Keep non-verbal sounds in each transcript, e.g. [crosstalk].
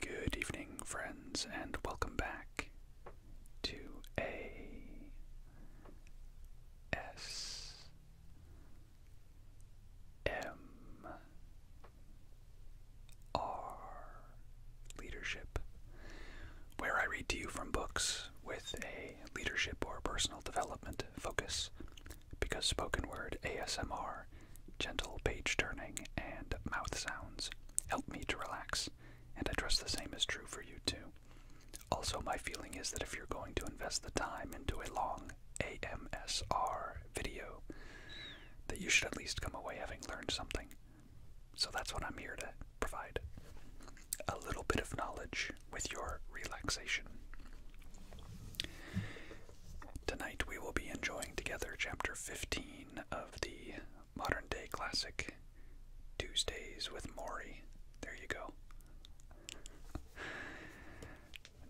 Good evening, friends, and welcome back to a S M R Leadership, where I read to you from books with a leadership or personal development focus because spoken word ASMR, gentle page turning, and mouth sounds help me to relax, and I trust the same is true for you too. Also, my feeling is that if you're going to invest the time into a long AMSR video, that you should at least come away having learned something. So that's what I'm here to provide a little bit of knowledge with your relaxation. Tonight we will be enjoying together chapter 15 of the modern day classic Tuesdays with Maury. There you go.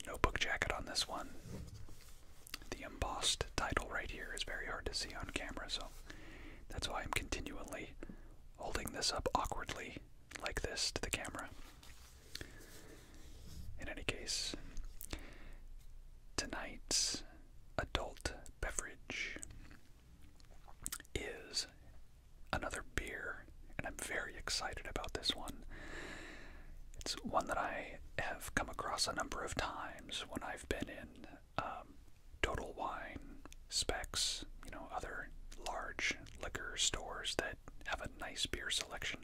No book jacket on this one. The embossed title right here is very hard to see on camera, so that's why I'm continually holding this up awkwardly like this to the camera. In any case, tonight's adult beverage is another beer, and I'm very excited about this one. It's one that I have come across a number of times when I've been in um, Total Wine, Specs, you know, other large liquor stores that have a nice beer selection.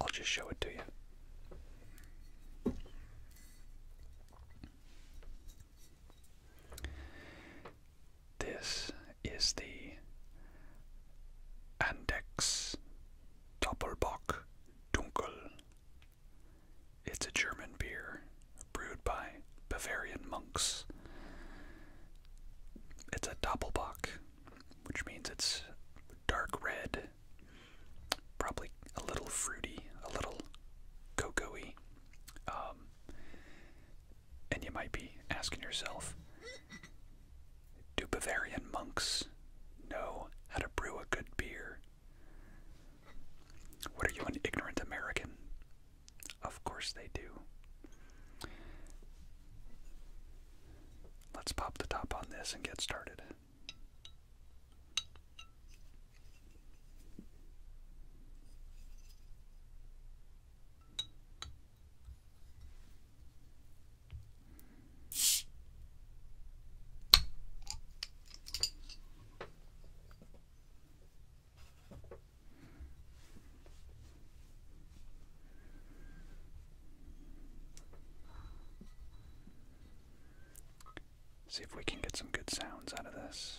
I'll just show it to you. This is the Andex Doppelbock Dunkel. It's a German beer brewed by Bavarian monks it's a doppelbock, which means it's dark red, probably a little fruity, a little cocoa um, and you might be asking yourself, do Bavarian monks know how to brew a good beer? What are you, an ignorant American? Of course they do. Let's pop the top on this and get started. See if we can get some good sounds out of this.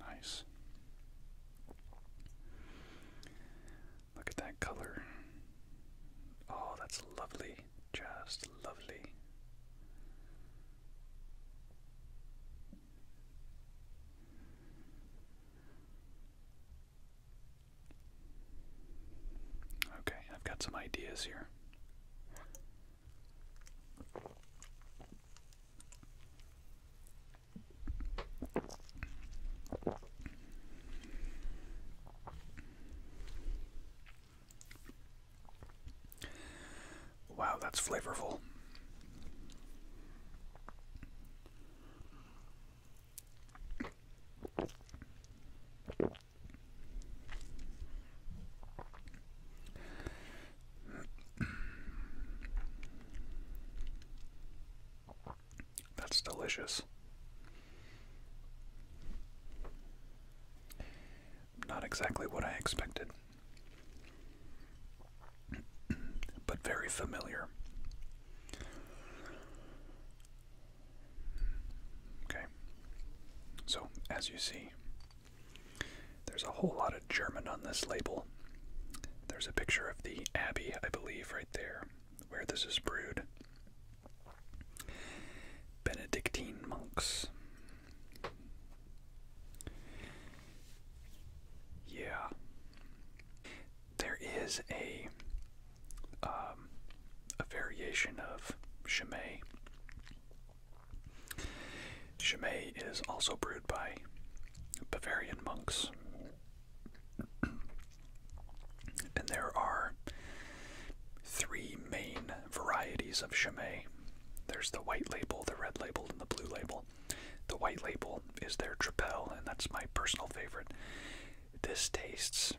Nice. Look at that color. Oh, that's lovely. Just lovely. Okay, I've got some ideas here. Wow, that's flavorful. That's delicious. Not exactly what I expected, but very familiar. Okay, so as you see, there's a whole lot of German on this label. There's a picture of the Abbey, I believe, right there, where this is brewed. Benedictine monks. Yeah. There is a um, a variation of Chimay Chimay is also brewed by Bavarian monks. [clears throat] and there are three main varieties of Chimay there's the white label, the red label, and the blue label. The white label is their Tripel, and that's my personal favorite. This tastes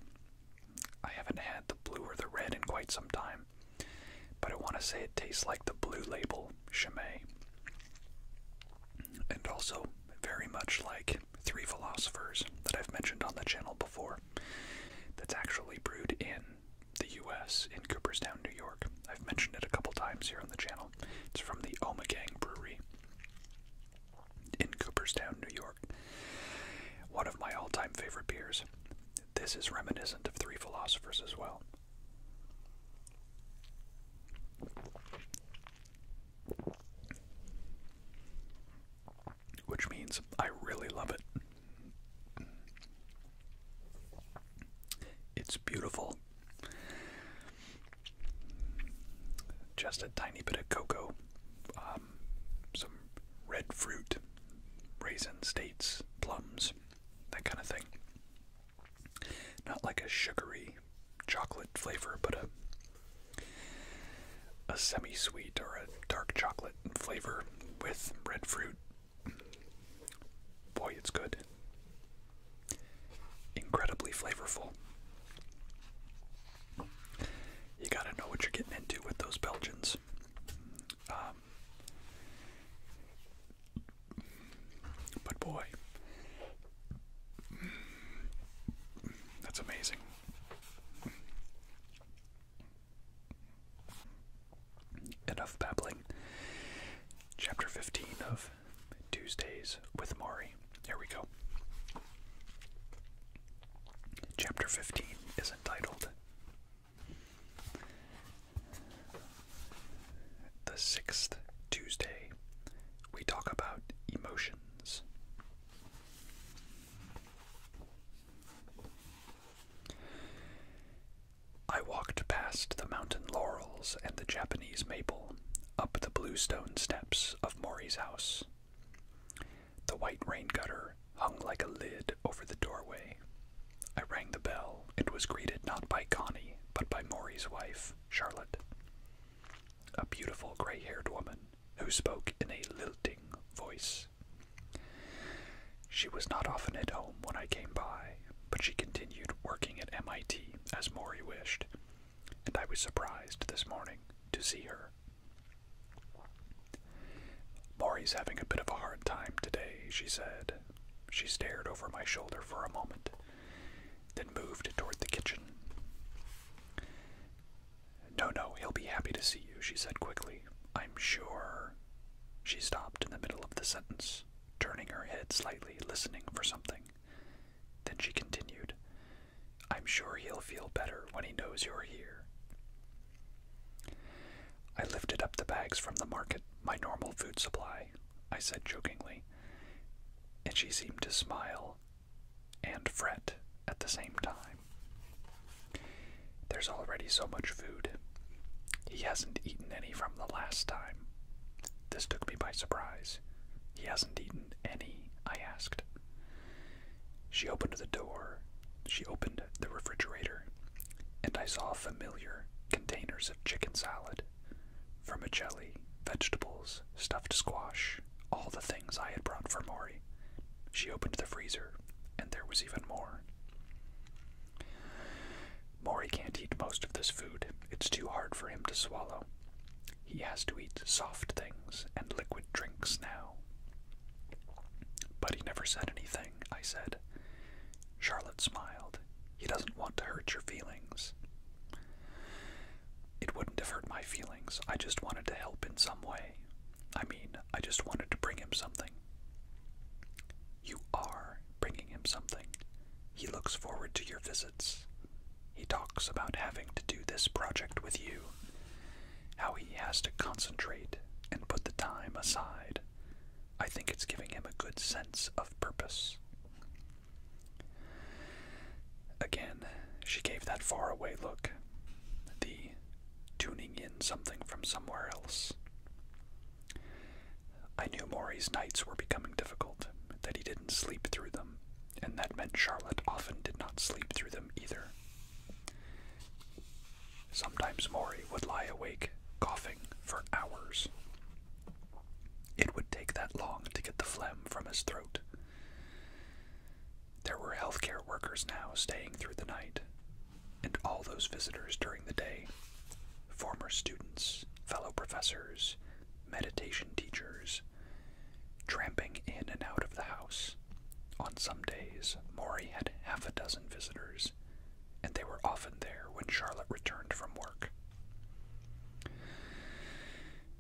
I haven't had the blue or the red in quite some time, but I want to say it tastes like the blue label Chimay. And also, very much like Three Philosophers that I've mentioned on the channel before, that's actually brewed in the US in Cooperstown, New York. I've mentioned it a couple times here on the channel. It's from the Omegang Brewery in Cooperstown, New York. One of my all time favorite beers. This is reminiscent of three philosophers as well. Which means I really love it. It's beautiful. Just a tiny bit of cocoa uh, um, some red fruit, raisin, dates, plums, that kind of thing. Not like a sugary chocolate flavor, but a, a semi sweet or a dark chocolate flavor with red fruit. Boy, it's good. Incredibly flavorful. You gotta know what you're getting into with those Belgians. Um, but boy, that's amazing. Enough babbling. Chapter 15 of Tuesdays with Mari. Here we go. Chapter 15 is entitled the sixth Tuesday, we talk about emotions. I walked past the mountain laurels and the Japanese maple up the blue stone steps of Mori's house. The white rain gutter hung like a lid over the doorway. I rang the bell and was greeted not by Connie, but by Maury's wife, Charlotte, a beautiful gray haired woman who spoke in a lilting voice. She was not often at home when I came by, but she continued working at MIT as Maury wished, and I was surprised this morning to see her. Maury's having a bit of a hard time today, she said. She stared over my shoulder for a moment, then moved toward the kitchen. No, no, he'll be happy to see you, she said quickly. I'm sure. She stopped in the middle of the sentence, turning her head slightly, listening for something. Then she continued, I'm sure he'll feel better when he knows you're here. I lifted up the bags from the market, my normal food supply, I said jokingly, and she seemed to smile and fret at the same time. There's already so much food. He hasn't eaten any from the last time. This took me by surprise. He hasn't eaten any, I asked. She opened the door. She opened the refrigerator, and I saw familiar containers of chicken salad, vermicelli, vegetables, stuffed squash, all the things I had brought for Maury. She opened the freezer, and there was even more. Maury can't eat most of this food. It's too hard for him to swallow. He has to eat soft things and liquid drinks now. But he never said anything, I said. Charlotte smiled. He doesn't want to hurt your feelings. It wouldn't have hurt my feelings. I just wanted to help in some way. I mean, I just wanted to bring him something. You are bringing him something. He looks forward to your visits. He talks about having to do this project with you how he has to concentrate and put the time aside. I think it's giving him a good sense of purpose. Again, she gave that faraway look, the tuning in something from somewhere else. I knew Maury's nights were becoming difficult, that he didn't sleep through them, and that meant Charlotte often did not sleep through them either. Sometimes Mori would lie awake, coughing, for hours. It would take that long to get the phlegm from his throat. There were healthcare workers now staying through the night, and all those visitors during the day former students, fellow professors, meditation teachers, tramping in and out of the house. On some days, Maury had half a dozen visitors, and they were often there when Charlotte returned from work.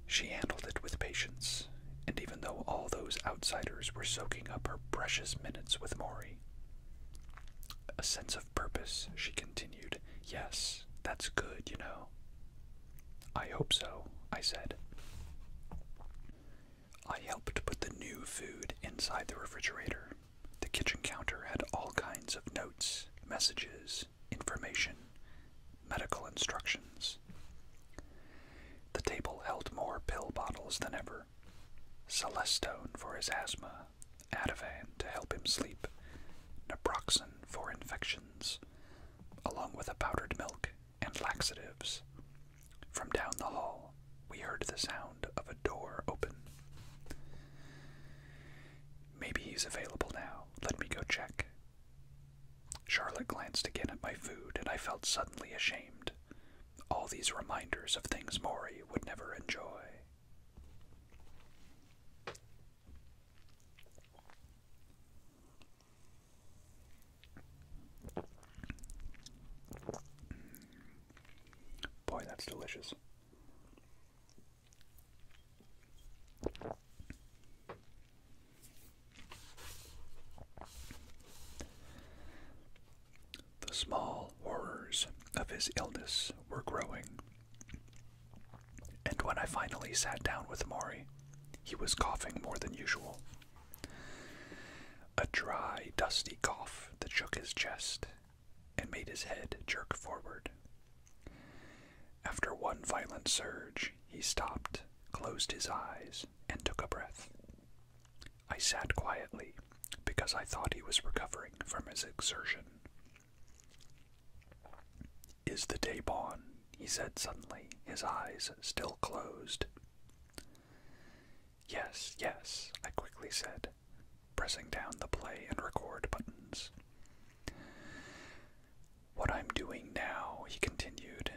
She handled it with patience, and even though all those outsiders were soaking up her precious minutes with Maury, a sense of purpose, she continued. Yes, that's good, you know. I hope so, I said. I helped put the new food inside the refrigerator. The kitchen counter had all kinds of notes, messages, information, medical instructions. The table held more pill bottles than ever. Celestone for his asthma, Ativan to help him sleep, naproxen for infections, along with a powdered milk and laxatives. From down the hall, we heard the sound of a door open. Maybe he's available now. Let me go check. Charlotte glanced again at my food, and I felt suddenly ashamed. All these reminders of things Mori would never enjoy. Boy, that's delicious. The small horrors of his illness were growing, and when I finally sat down with Maury, he was coughing more than usual. A dry, dusty cough that shook his chest and made his head jerk forward. After one violent surge, he stopped, closed his eyes, and took a breath. I sat quietly because I thought he was recovering from his exertion. Is the day born? he said suddenly, his eyes still closed. Yes, yes, I quickly said, pressing down the play and record buttons. What I'm doing now, he continued,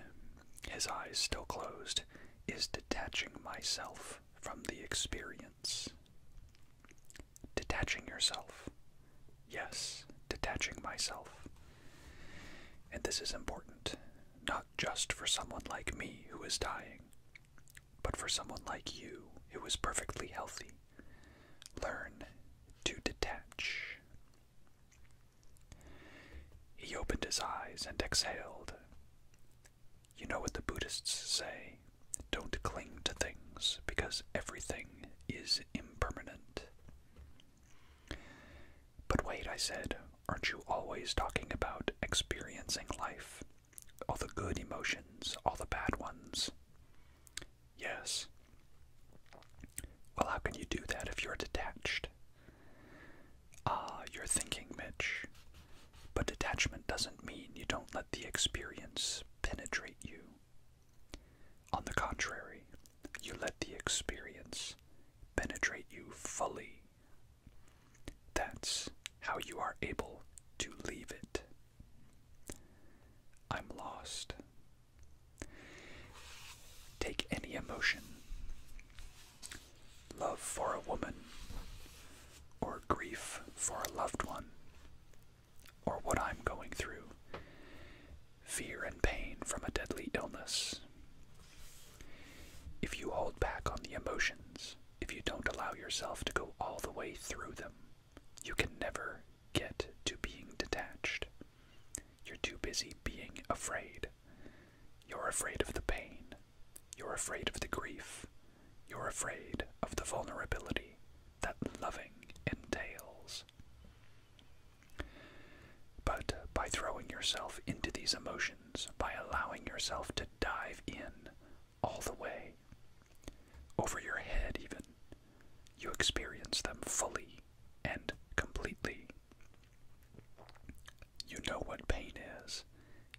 his eyes still closed, is detaching myself from the experience. Detaching yourself. Yes, detaching myself. And this is important, not just for someone like me who is dying, but for someone like you who is perfectly healthy. Learn to detach. He opened his eyes and exhaled. You know what the Buddhists say don't cling to things because everything is impermanent. But wait, I said, aren't you always talking about experiencing life? All the good emotions, all the bad ones? Yes. Well, how can you do that if you're detached? Ah, you're thinking, Mitch. But detachment doesn't mean you don't let the experience penetrate you. On the contrary, you let the experience penetrate you fully. That's how you are able to leave it. I'm lost. Take any emotion love for a woman, or grief for a loved one, or what I'm going through, fear and pain from a deadly illness. If you hold back on the emotions, if you don't allow yourself to go all the way through them, you can never get to being detached. You're too busy being afraid. You're afraid of the pain. You're afraid of the grief. You're afraid of the vulnerability that loving entails. But by throwing yourself into these emotions, by allowing yourself to dive in all the way, over your head even, you experience them fully and completely. You know what pain is.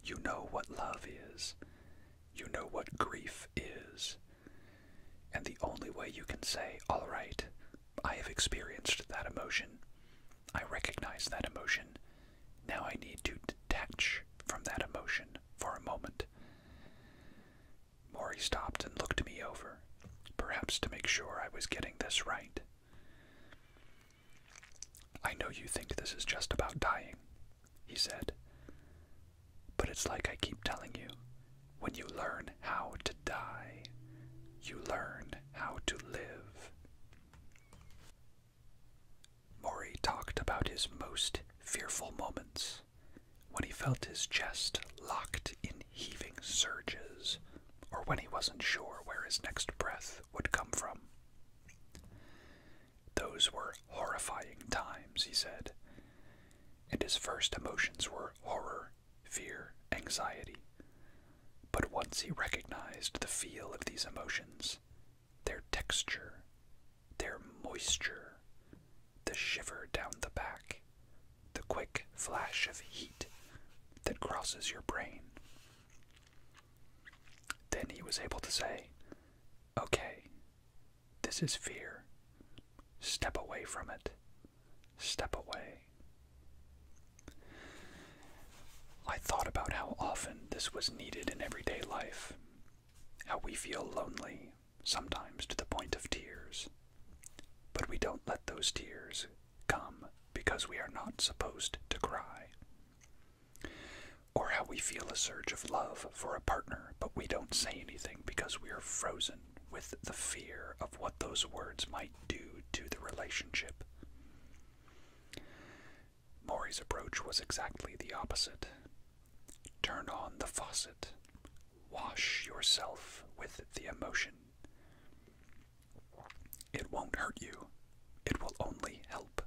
You know what love is. You know what grief is. And the only way you can say, all right, I have experienced that emotion, I recognize that emotion, now I need to detach from that emotion for a moment. Maury stopped and looked me over, perhaps to make sure I was getting this right. I know you think this is just about dying, he said. But it's like I keep telling you, when you learn how to die, you learn how to live. Mori talked about his most fearful moments when he felt his chest locked in heaving surges, or when he wasn't sure where his next breath would come from. Those were horrifying times, he said, and his first emotions were horror fear, anxiety. But once he recognized the feel of these emotions, their texture, their moisture, the shiver down the back, the quick flash of heat that crosses your brain, then he was able to say, Okay, this is fear. Step away from it step away. I thought about how often this was needed in everyday life, how we feel lonely, sometimes to the point of tears. But we don't let those tears come because we are not supposed to cry. Or how we feel a surge of love for a partner, but we don't say anything because we are frozen with the fear of what those words might do to the relationship. Maury's approach was exactly the opposite. Turn on the faucet. Wash yourself with the emotion. It won't hurt you, it will only help.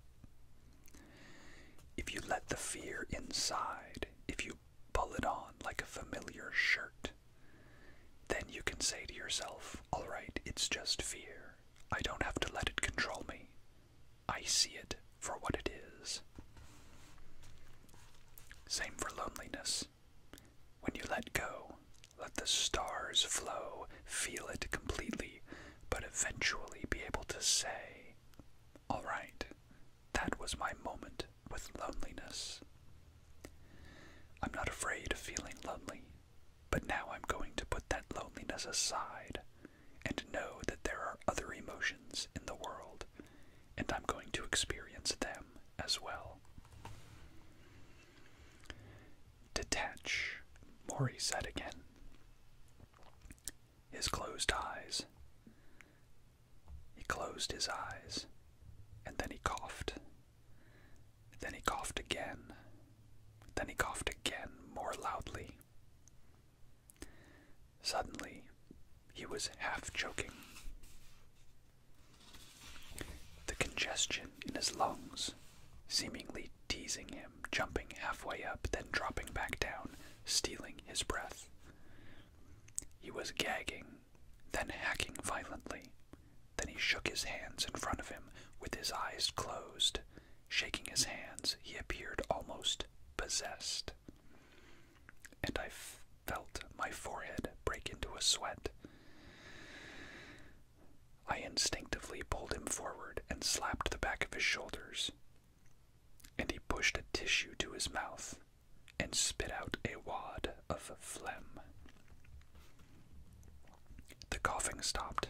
If you let the fear inside, if you pull it on like a familiar shirt. Then you can say to yourself, alright, it's just fear. I don't have to let it control me. I see it for what it is. Same for loneliness. When you let go, let the stars flow, feel it completely, but eventually be able to say, Alright, that was my moment with loneliness. I'm not afraid of feeling lonely, but now I'm going to put that loneliness aside and know that there are other emotions in the world, and I'm going to experience them as well. Detach, Mori said again. His closed eyes. He closed his eyes, and then he coughed. Then he coughed again. Then he coughed again, more loudly. Suddenly, he was half choking. The congestion in his lungs, seemingly teasing him, jumping halfway up, then dropping back down, stealing his breath. He was gagging then hacking violently. Then he shook his hands in front of him with his eyes closed. Shaking his hands, he appeared almost possessed. And I felt my forehead break into a sweat. I instinctively pulled him forward and slapped the back of his shoulders. And he pushed a tissue to his mouth and spit out a wad of phlegm. The coughing stopped,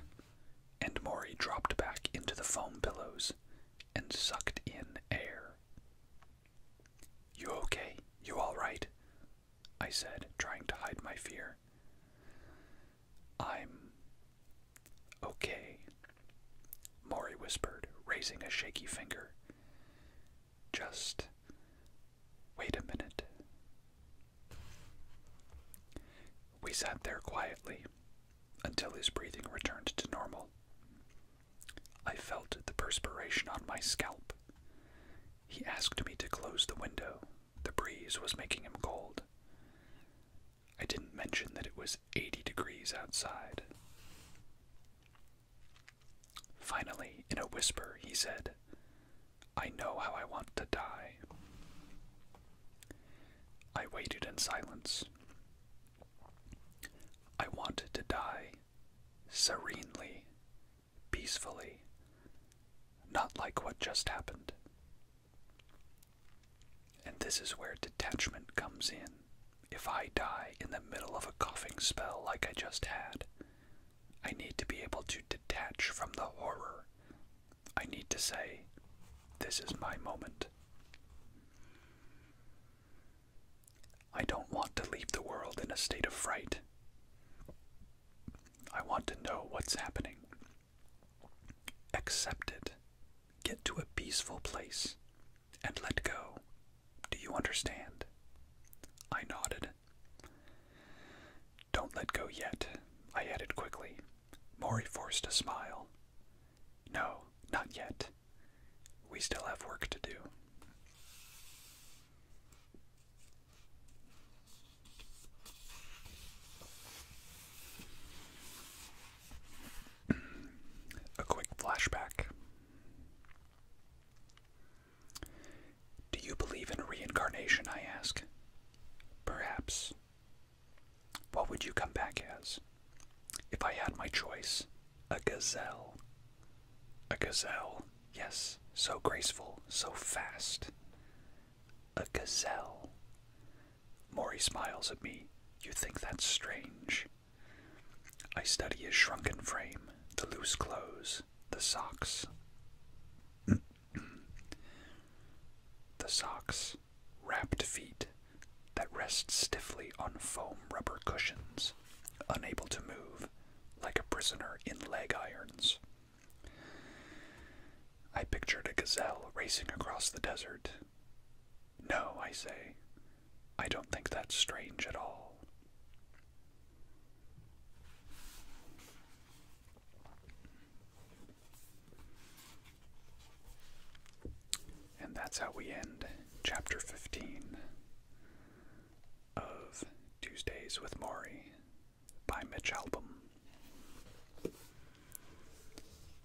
and Maury dropped back into the foam pillows and sucked in air. You okay? You all right? I said, trying to hide my fear. I'm okay, Maury whispered, raising a shaky finger just wait a minute. We sat there quietly until his breathing returned to normal. I felt the perspiration on my scalp. He asked me to close the window. The breeze was making him cold. I didn't mention that it was 80 degrees outside. Finally, in a whisper, he said, I know how I want to die. I waited in silence. I want to die serenely, peacefully, not like what just happened. And this is where detachment comes in. If I die in the middle of a coughing spell like I just had, I need to be able to detach from the horror. I need to say, This is my moment. I don't want to leave the world in a state of fright. I want to know what's happening. Accept it Get to a peaceful place and let go. Do you understand? I nodded. Don't let go yet, I added quickly. Maury forced a smile. No, not yet. We still have work to do. a quick flashback do you believe in reincarnation? I ask. Perhaps. What would you come back as? If I had my choice, a gazelle. A gazelle, yes, so graceful, so fast. A gazelle. Maury smiles at me. You think that's strange. I study his shrunken frame, the loose clothes, the socks. the socks, wrapped feet that rest stiffly on foam rubber cushions, unable to move, like a prisoner in leg irons. I pictured a gazelle racing across the desert. No, I say, I don't think that's strange at all. And that's how we end chapter 15 of Tuesdays with Maury by Mitch Album.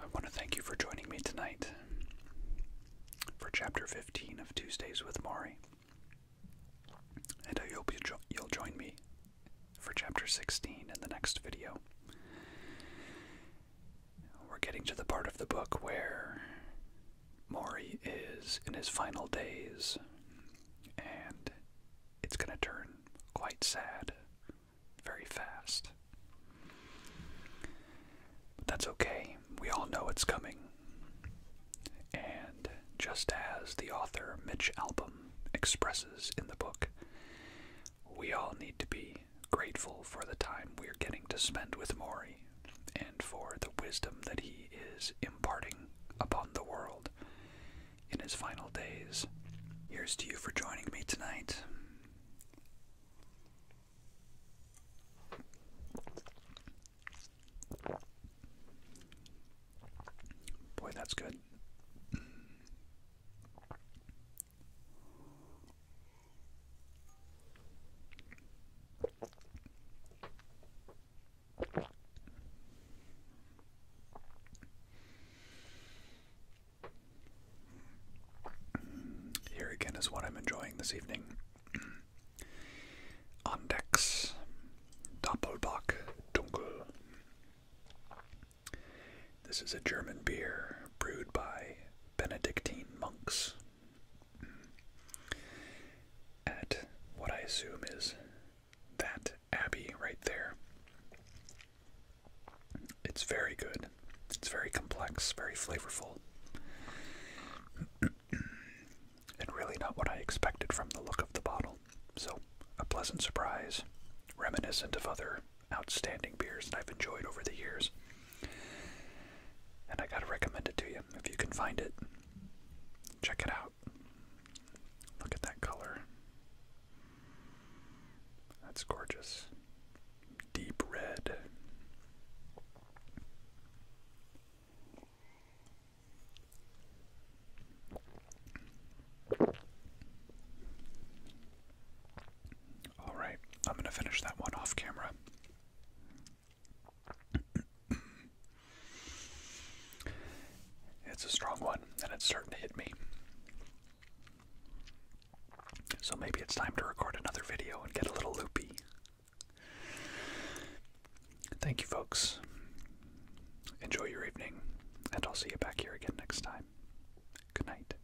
I want to thank you for joining me tonight for Chapter 15 of Tuesdays with Mari. And I hope you you'll join me for Chapter 16 in the next video. We're getting to the part of the book where Maury is in his final days, and it's going to turn quite sad very fast. But that's okay, we all know it's coming. And just as the author Mitch Album expresses in the book, we all need to be grateful for the time we're getting to spend with Maury and for the wisdom that he is imparting upon the world in his final days. Here's to you for joining me tonight. Boy, that's good. Here again is what I'm enjoying this evening. Ondex, [clears throat] Doppelbock, Dunkel. This is a German beer brewed by Benedictine monks at what I assume is that abbey right there. It's very good. It's very complex, very flavorful. [clears throat] and really not what I expected from the look of the bottle. So, a pleasant surprise, reminiscent of other outstanding beers that I've enjoyed over the years. And I gotta recommend it to you. If you can find it, check it out. Look at that color. That's gorgeous. Deep red. Alright, I'm going to finish that one off camera. it's a strong one, and it's starting to hit me. So maybe it's time to record another video and get a little loopy. Thank you, folks. Enjoy your evening, and I'll see you back here again next time. Good night.